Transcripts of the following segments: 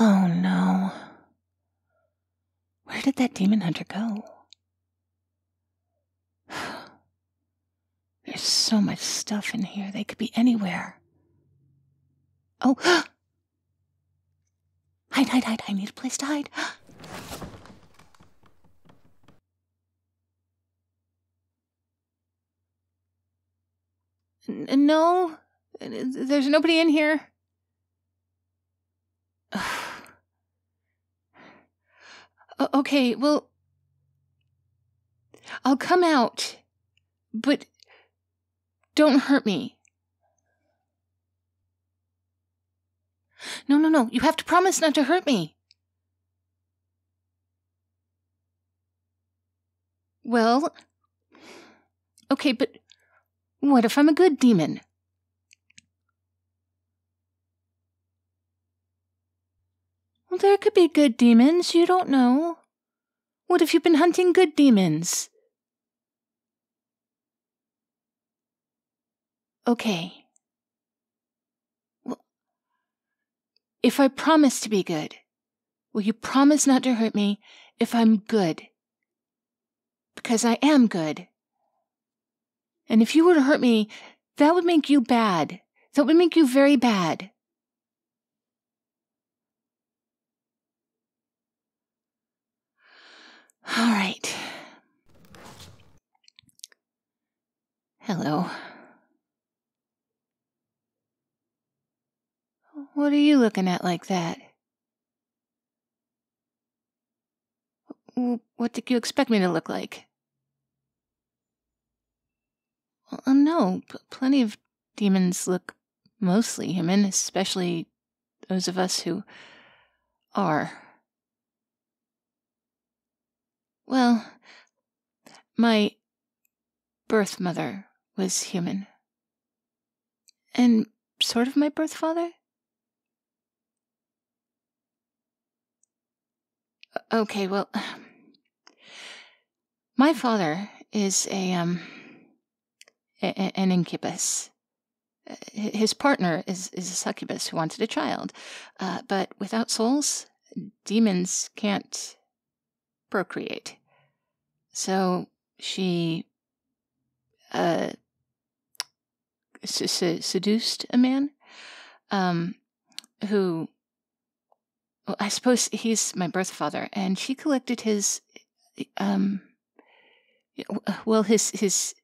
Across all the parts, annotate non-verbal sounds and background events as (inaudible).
Oh no. Where did that demon hunter go? There's so much stuff in here. They could be anywhere. Oh! hide, hide, hide. I need a place to hide. N- no, there's nobody in here. (sighs) okay, well, I'll come out, but don't hurt me. No, no, no, you have to promise not to hurt me. Well, okay, but what if I'm a good demon? there could be good demons, you don't know. What if you've been hunting good demons? Okay. Well, if I promise to be good, Will you promise not to hurt me if I'm good? Because I am good. And if you were to hurt me, that would make you bad. That would make you very bad. All right. Hello. What are you looking at like that? What did you expect me to look like? Well, uh, no, plenty of demons look mostly human, especially those of us who are. Well, my birth mother was human. And sort of my birth father? Okay, well, (sighs) my father is a, um, an incubus. His partner is, is a succubus who wanted a child. Uh, but without souls, demons can't procreate. So she uh, seduced a man um, who, I suppose he's my birth father, and she collected his, um, well, his, his,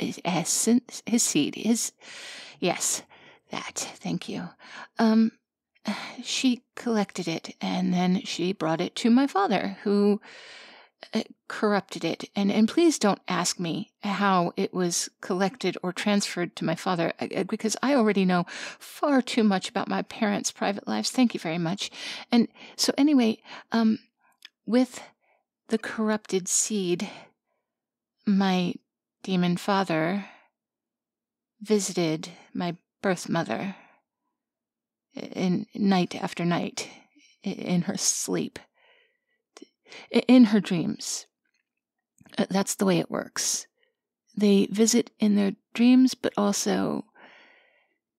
his essence, his seed, his, yes, that, thank you. Um, (sighs) She collected it, and then she brought it to my father, who uh, corrupted it. And, and please don't ask me how it was collected or transferred to my father, uh, uh, because I already know far too much about my parents' private lives. Thank you very much. And so, anyway, um, with the corrupted seed, my demon father visited my birth mother in night after night in her sleep in her dreams uh, that's the way it works they visit in their dreams but also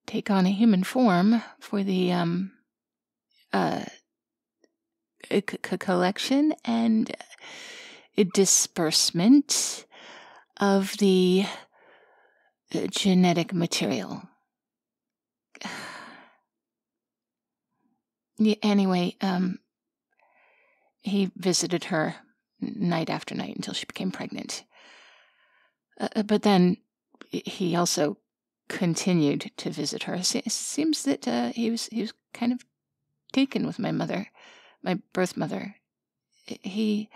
take on a human form for the um uh collection and disbursement of the uh, genetic material. (sighs) anyway, um, he visited her night after night until she became pregnant. Uh, uh, but then he also continued to visit her. It seems that he was he was kind of taken with my mother, my birth mother, he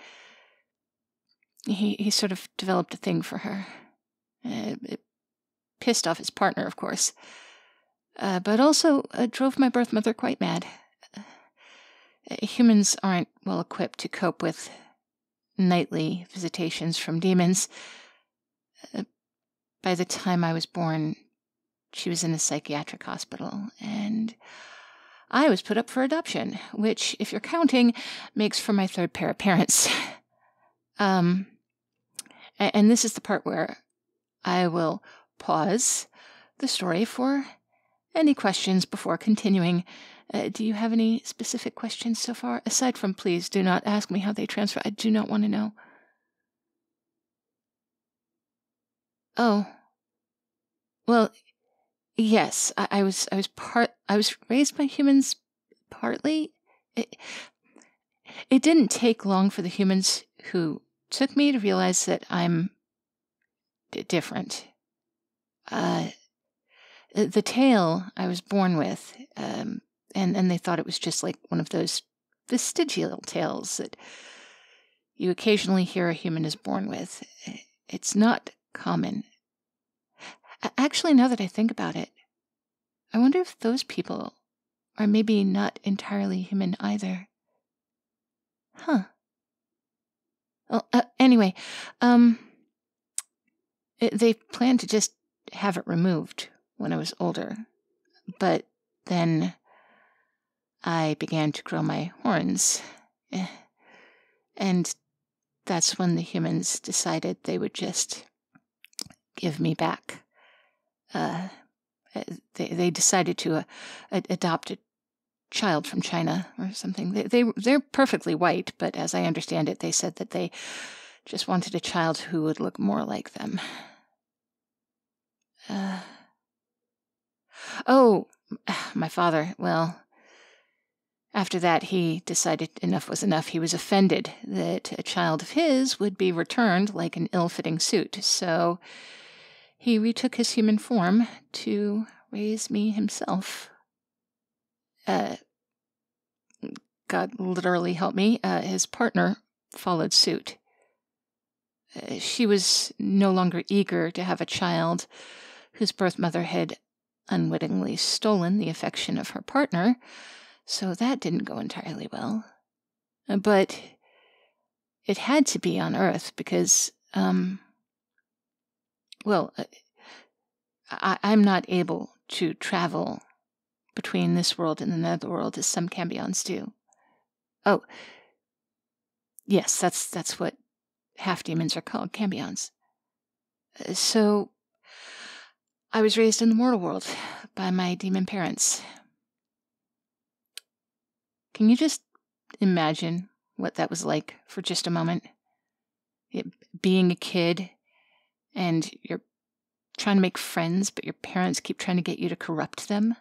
he he sort of developed a thing for her. Uh, it, pissed off his partner, of course, uh, but also uh, drove my birth mother quite mad. humans aren't well equipped to cope with nightly visitations from demons. by the time I was born, she was in a psychiatric hospital, and I was put up for adoption, which, if you're counting, makes for my third pair of parents. (laughs) um, and this is the part where I will pause the story for any questions before continuing. Uh, do you have any specific questions so far? Aside from, please do not ask me how they transfer. I do not want to know. Oh. Well, yes, I, was I was part I was raised by humans partly. It, it didn't take long for the humans who took me to realize that I'm different. Uh, the tail I was born with, um, and and they thought it was just like one of those vestigial tails that you occasionally hear a human is born with. It's not common. Actually, now that I think about it, I wonder if those people are maybe not entirely human either. Huh. Well, uh, anyway, um, eh, they planned to just have it removed when I was older, but then I began to grow my horns. Eh, and that's when the humans decided they would just give me back. Uh, eh, they, they decided to uh, adopt a child from China or something. they they're perfectly white, but as I understand it, they said that they just wanted a child who would look more like them. Uh, oh, (sighs) my father, well, after that he decided enough was enough. He was offended that a child of his would be returned like an ill fitting suit, so he retook his human form to raise me himself. Uh, God literally help me, uh, his partner followed suit. Uh, she was no longer eager to have a child whose birth mother had unwittingly stolen the affection of her partner, so that didn't go entirely well. Uh, but it had to be on Earth because, um, well, uh, I, am not able to travel between this world and the nether world as some cambions do. Oh, yes, that's that's what half demons are called, cambions. Uh, so, I was raised in the mortal world by my demon parents. Can you just imagine what that was like for just a moment? being a kid and you're trying to make friends, but your parents keep trying to get you to corrupt them.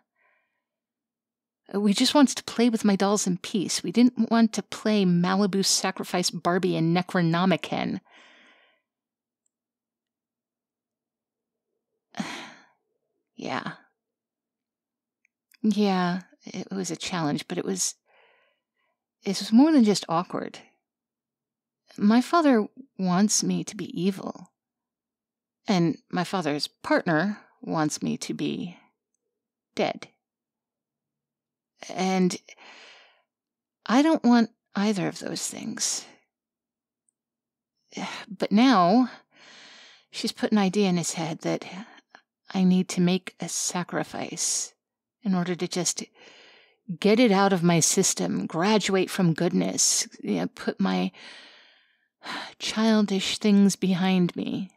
Uh, we just wanted to play with my dolls in peace. We didn't want to play Malibu Sacrifice Barbie and Necronomicon. (sighs) yeah. Yeah, it was a challenge, but it was. It was more than just awkward. My father wants me to be evil. And my father's partner wants me to be dead. And I don't want either of those things. (sighs) But now she's put an idea in his head that I need to make a sacrifice in order to just get it out of my system, graduate from goodness, you know, put my (sighs) childish things behind me.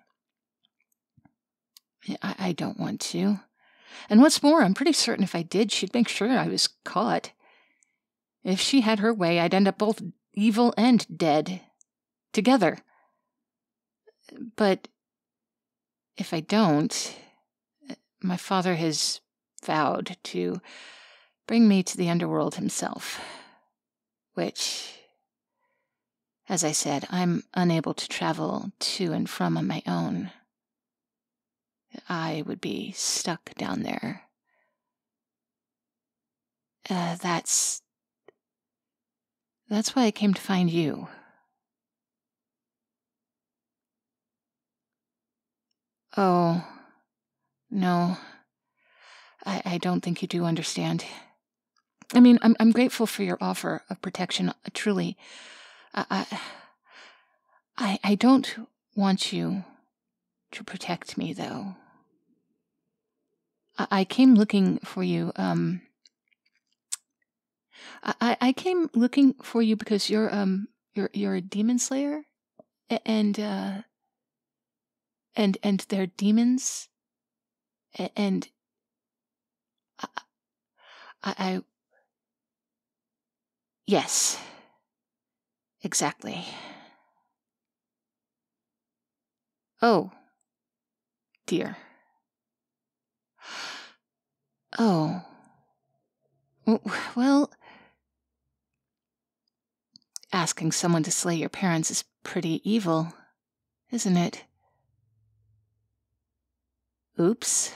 I, don't want to. And what's more, I'm pretty certain if I did, she'd make sure I was caught. If she had her way, I'd end up both evil and dead. Together. But if I don't, my father has vowed to bring me to the underworld himself. Which, as I said, I'm unable to travel to and from on my own. I would be stuck down there. Uh, that's. That's why I came to find you. Oh, no. I, I don't think you do understand. I mean, I'm, I'm grateful for your offer of protection, uh, truly. I, I, I don't want you to protect me, though. I, came looking for you, um, I, I came looking for you because you're um you're you're a demon slayer and uh, and and their demons and I, I, I yes exactly oh dear oh well Asking someone to slay your parents is pretty evil, isn't it? Oops.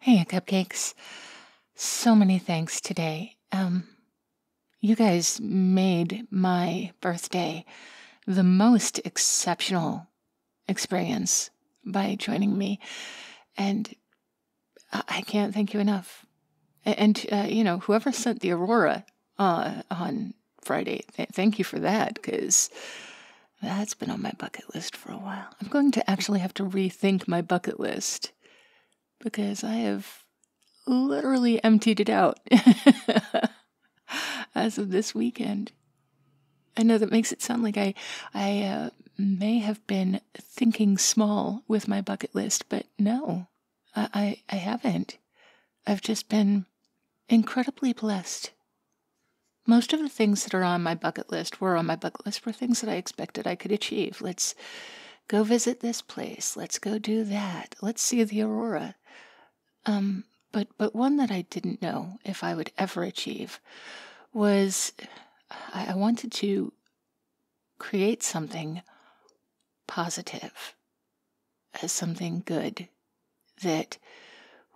Hey, Cupcakes. So many thanks today. Um, you guys made my birthday the most exceptional experience by joining me. And I can't thank you enough. And, uh, you know, whoever sent the Aurora uh, on Friday, thank you for that because that's been on my bucket list for a while. I'm going to actually have to rethink my bucket list because I have literally emptied it out (laughs) as of this weekend. I know that makes it sound like I, I uh, may have been thinking small with my bucket list, but no, I, I, haven't. I've just been incredibly blessed. Most of the things that are on my bucket list were on my bucket list for things that I expected I could achieve. Let's go visit this place. Let's go do that. Let's see the aurora. Um, but but one that I didn't know if I would ever achieve was I, I wanted to create something positive, as something good that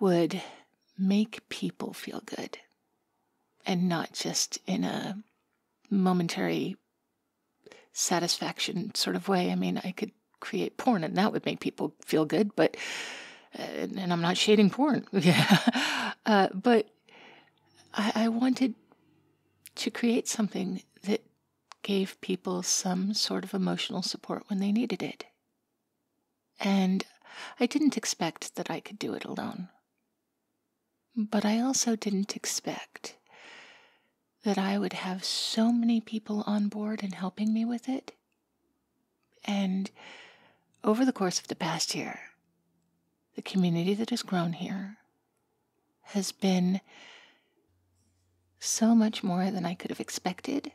would make people feel good and not just in a momentary satisfaction sort of way. I mean, I could create porn and that would make people feel good, but and I'm not shading porn. (laughs) Yeah. Uh, but I wanted to create something that gave people some sort of emotional support when they needed it. And I didn't expect that I could do it alone. But I also didn't expect that I would have so many people on board and helping me with it and over the course of the past year, the community that has grown here has been so much more than I could have expected,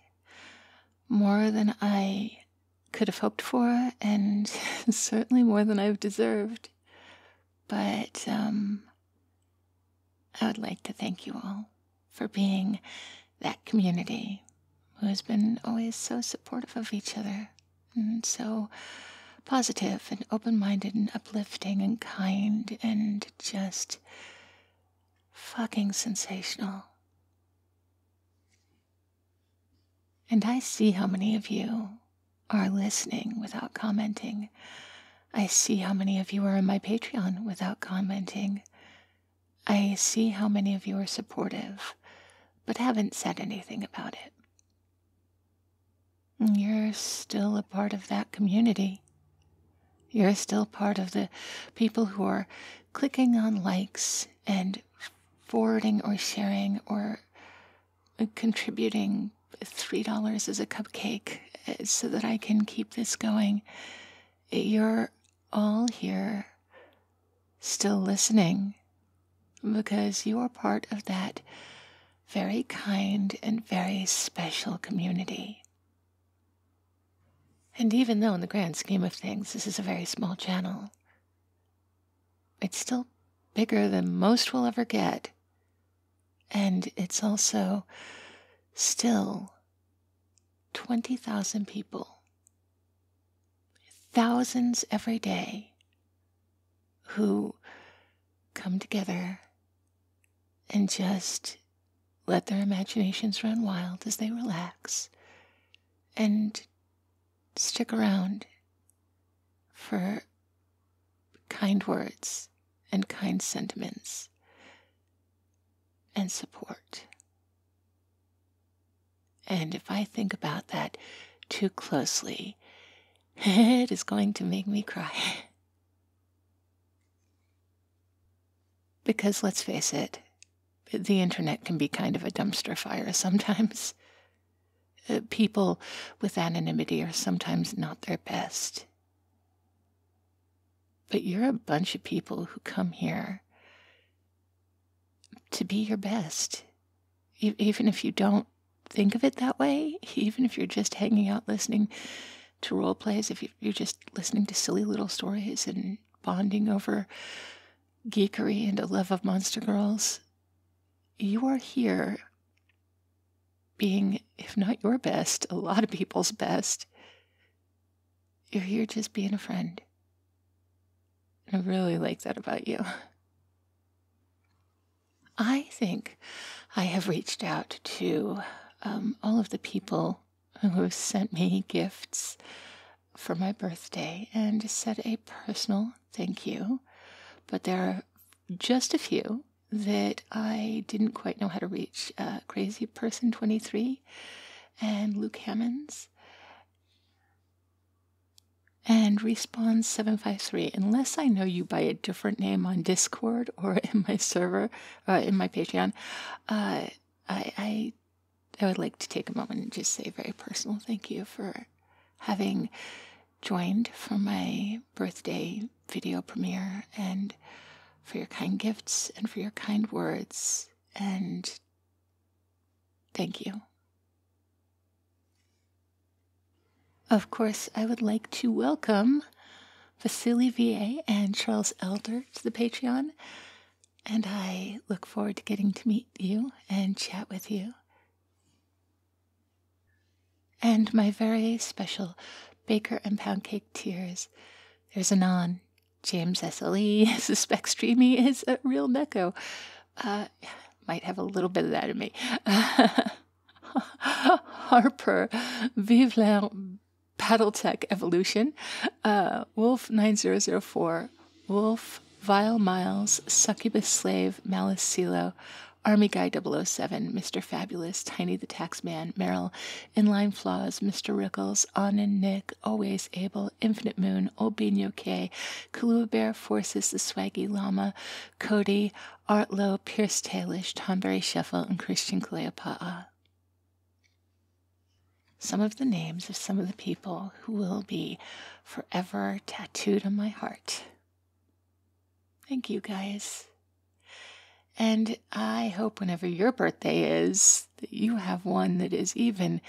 more than I could have hoped for, and (laughs) certainly more than I've deserved. But um, I would like to thank you all for being that community who has been always so supportive of each other and so positive and open minded and uplifting and kind and just fucking sensational. And I see how many of you are listening without commenting. I see how many of you are on my Patreon without commenting. I see how many of you are supportive, but haven't said anything about it. You're still a part of that community. You're still part of the people who are clicking on likes and forwarding or sharing or contributing $3 as a cupcake eh, so that I can keep this going. You're all here still listening because you are part of that very kind and very special community. And even though, in the grand scheme of things, this is a very small channel, it's still bigger than most will ever get. And it's also still 20,000 people Thousands every day who come together and just let their imaginations run wild as they relax and stick around for kind words and kind sentiments and support. And if I think about that too closely, (laughs) it is going to make me cry. (laughs) because let's face it, the internet can be kind of a dumpster fire sometimes. (laughs) Uh, people with anonymity are sometimes not their best. But you're a bunch of people who come here to be your best. even if you don't think of it that way, (laughs) even if you're just hanging out listening to role plays, if you're just listening to silly little stories and bonding over geekery and a love of monster girls, you are here being, if not your best, a lot of people's best. You're here just being a friend. And I really like that about you. I think I have reached out to um, all of the people who sent me gifts for my birthday and said a personal thank you. But there are just a few that I didn't quite know how to reach. Uh, Crazy Person 23 and Luke Hammonds and Respawn753, unless I know you by a different name on Discord or (laughs) in my server, uh, in my Patreon, uh, I, I, I would like to take a moment and just say very personal thank you for having joined for my birthday video premiere and for your kind gifts and for your kind words and Thank you. Of course, I would like to welcome Vassili VA and Charles Elder to the Patreon. And I look forward to getting to meet you and chat with you. And my very special Baker and Pound Cake Tears. There's Anon James Cecily (laughs) suspects Dreamy is a real Neko. Uh, might have a little bit of that in me. (laughs) Harper, Vive la Battletech Evolution, uh, Wolf 9004, Wolf, Vile Miles, Succubus Slave, Malice Silo, Army Guy 007, Mr. Fabulous, Tiny the Taxman, Merrill, in line Flaws, Mr. Rickles, On and Nick, Always Able, Infinite Moon, Old Bean K, Forces, The Swaggy Llama, Cody, Artlow, Pierce Tailish, Tomberry Sheffel, and Christian Kaleapa'a. Some of the names of some of the people who will be forever tattooed on my heart. Thank you guys. And I hope whenever your birthday is that you have one that is even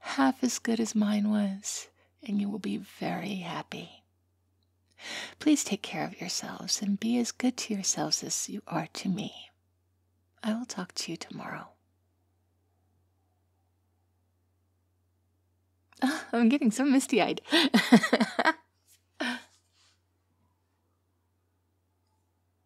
half as good as mine was, and you will be very happy. Please take care of yourselves and be as good to yourselves as you are to me. I will talk to you tomorrow. (laughs) Ah, I'm getting so misty eyed. (laughs) (laughs)